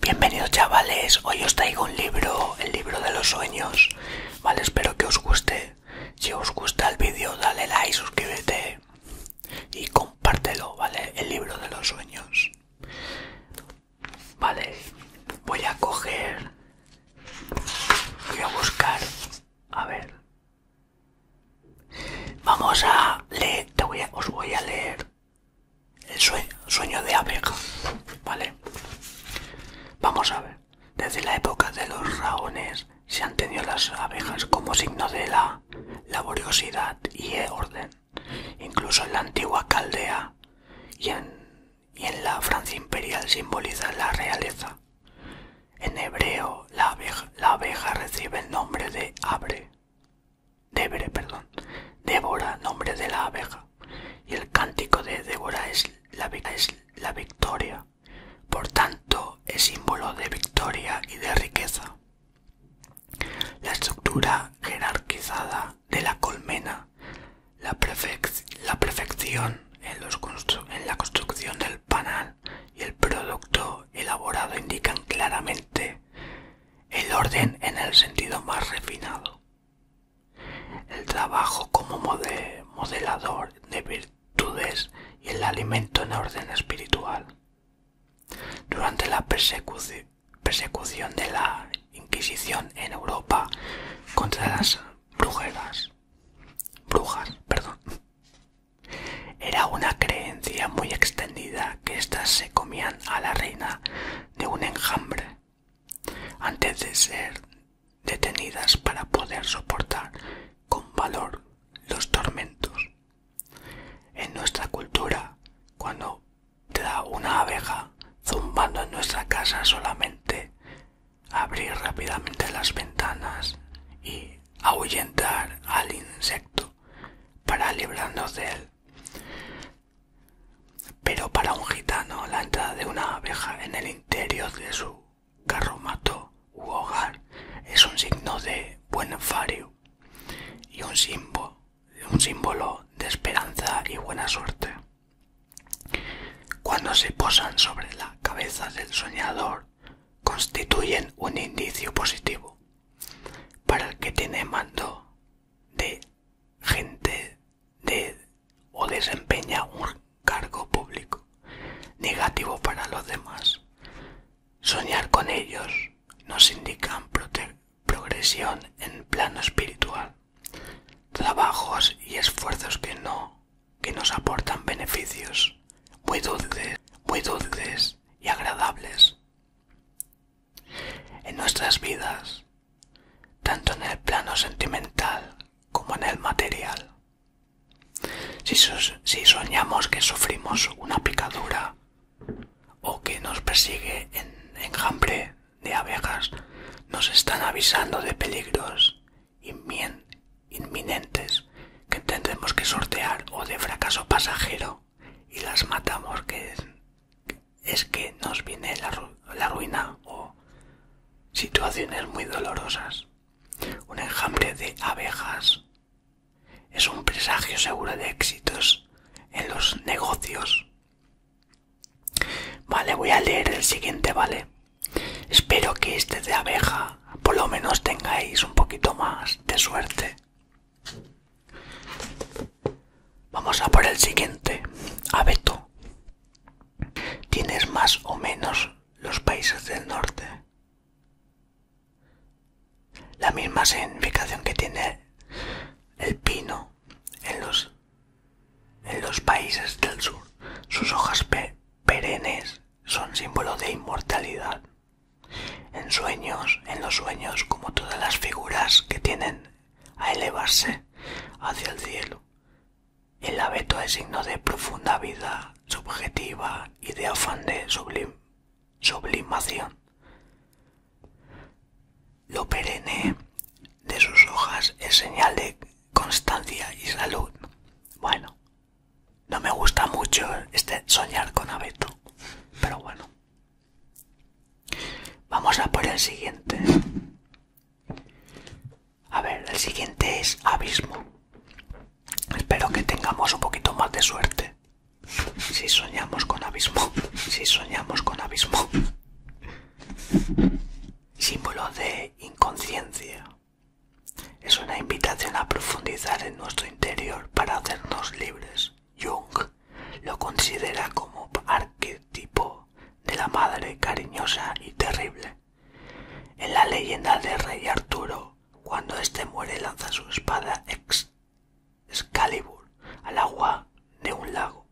Bienvenidos chavales, hoy os traigo un libro, el libro de los sueños, vale, espero que os guste, si os gusta el vídeo dale like, suscríbete y compártelo, vale, el libro de los sueños, vale, voy a coger, voy a buscar, a ver, vamos a leer, os voy a leer el sueño de abeja, ¿vale? Vamos a ver. Desde la época de los raones se han tenido las abejas como signo de la laboriosidad y e orden. Incluso en la antigua Caldea y en, la Francia imperial simboliza la realeza. En hebreo la abeja recibe el nombre de abre, Débora, perdón, Débora, nombre de la abeja, y el cántico de Débora es la, victoria, por tanto es símbolo de victoria y de riqueza. La estructura jerarquizada de la colmena, la, perfección en, en la construcción del panal y el producto elaborado indican claramente el orden en el sentido más refinado, el trabajo como modelador de virtudes y el alimento en orden espiritual. Durante la persecución de la Inquisición en Europa contra las brujeras, brujas, perdón, era una creencia muy extendida que éstas se comían a la reina de un enjambre antes de ser detenidas para poder soportar con valor los tormentos. En nuestra cultura, cuando te da una abeja zumbando en nuestra casa solamente, abrir rápidamente las ventanas y ahuyentar al insecto para librarnos de él. Pero para un gitano la entrada de una abeja en el interior de su carromato u hogar es un signo de buen fario y un símbolo, un símbolo de esperanza y buena suerte. Cuando se posan sobre la cabeza del soñador, constituyen un indicio positivo. Para el que tiene mando de gente de o desempeña un cargo público negativo para los demás. Soñar con ellos nos indican progresión en plano espiritual, trabajos y esfuerzos que no que nos aportan beneficios muy dulces, muy dulces y agradables. En nuestras vidas tanto en el plano sentimental como en el material. Si, soñamos que sufrimos una picadura o que nos persigue en enjambre de abejas, nos están avisando de peligros inminentes que tendremos que sortear o de fracaso pasajero y las matamos, que es, que nos viene la ruina o situaciones muy dolorosas. Un enjambre de abejas es un presagio seguro de éxitos en los negocios. Vale, voy a leer el siguiente, ¿vale? Espero que este de abeja por lo menos tengáis un poquito más de suerte. Vamos a por el siguiente. Abeto. ¿Tienes más o menos los países del norte? La misma significación que tiene el pino en los, países del sur. Sus hojas perennes son símbolo de inmortalidad. En sueños, en los sueños, como todas las figuras que tienen a elevarse hacia el cielo. El abeto es signo de profunda vida subjetiva y de afán de sublimación. Lo perenne de sus hojas es señal de constancia y salud. Bueno, no me gusta mucho este soñar con abeto, pero bueno, Vamos a por el siguiente. A ver, el siguiente es abismo. Espero que tengamos un poquito más de suerte. Si soñamos con abismo, si soñamos con abismo. Símbolo de inconsciencia. Es una invitación a profundizar en nuestro interior para hacernos libres. Jung lo considera como arquetipo de la madre cariñosa y terrible. En la leyenda de rey Arturo, cuando éste muere lanza su espada Excalibur al agua de un lago.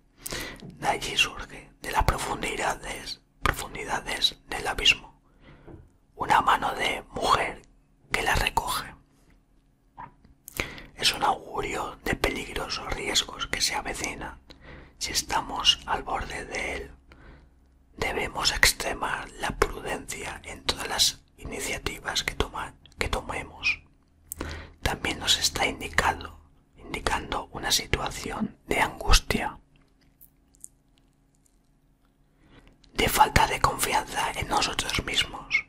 De allí surge, de las profundidades del abismo, una mano de mujer que la recoge. Es un augurio de peligrosos riesgos que se avecinan. Si estamos al borde de él, debemos extremar la prudencia en todas las iniciativas que, tomamos tomemos. También nos está indicando indicando una situación de angustia, de falta de confianza en nosotros mismos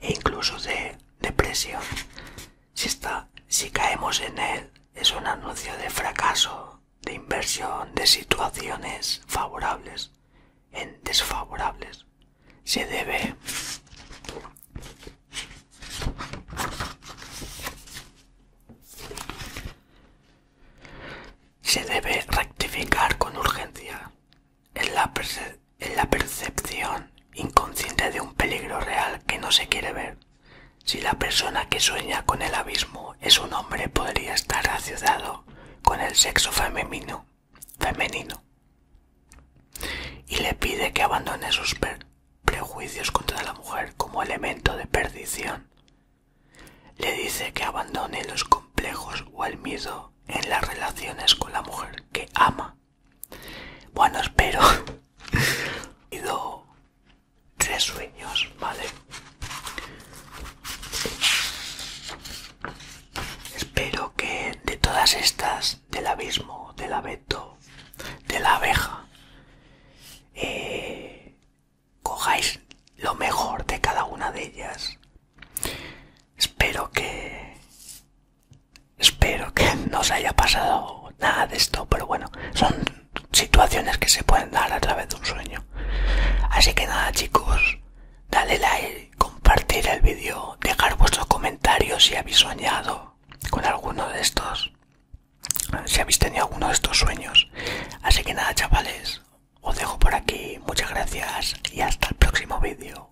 e incluso de depresión si, está, si caemos en él, es un anuncio de fracaso, de inversión, de situaciones favorables en desfavorables. Se debe se debe rectificar con urgencia. En la, en la percepción inconsciente de un peligro real que no se quiere ver. Si la persona que sueña con el abismo es un hombre, podría estar asociado con el sexo femenino, femenino y le pide que abandone sus prejuicios contra la mujer como elemento de perdición. Le dice que abandone los complejos o el miedo en las relaciones con la mujer que ama bueno, espero. tres sueños, ¿vale? Espero que de todas estas, del abismo, del abeto, de la abeja, eh, cojáis lo mejor de cada una de ellas. Espero que Espero que no os haya pasado nada de esto, pero bueno, son situaciones que se pueden dar a través de un sueño. Así que nada chicos, dale like, compartir el vídeo, dejar vuestros comentarios si habéis soñado con alguno de estos, si habéis tenido alguno de estos sueños. Así que nada chavales, os dejo por aquí, muchas gracias y hasta el próximo vídeo.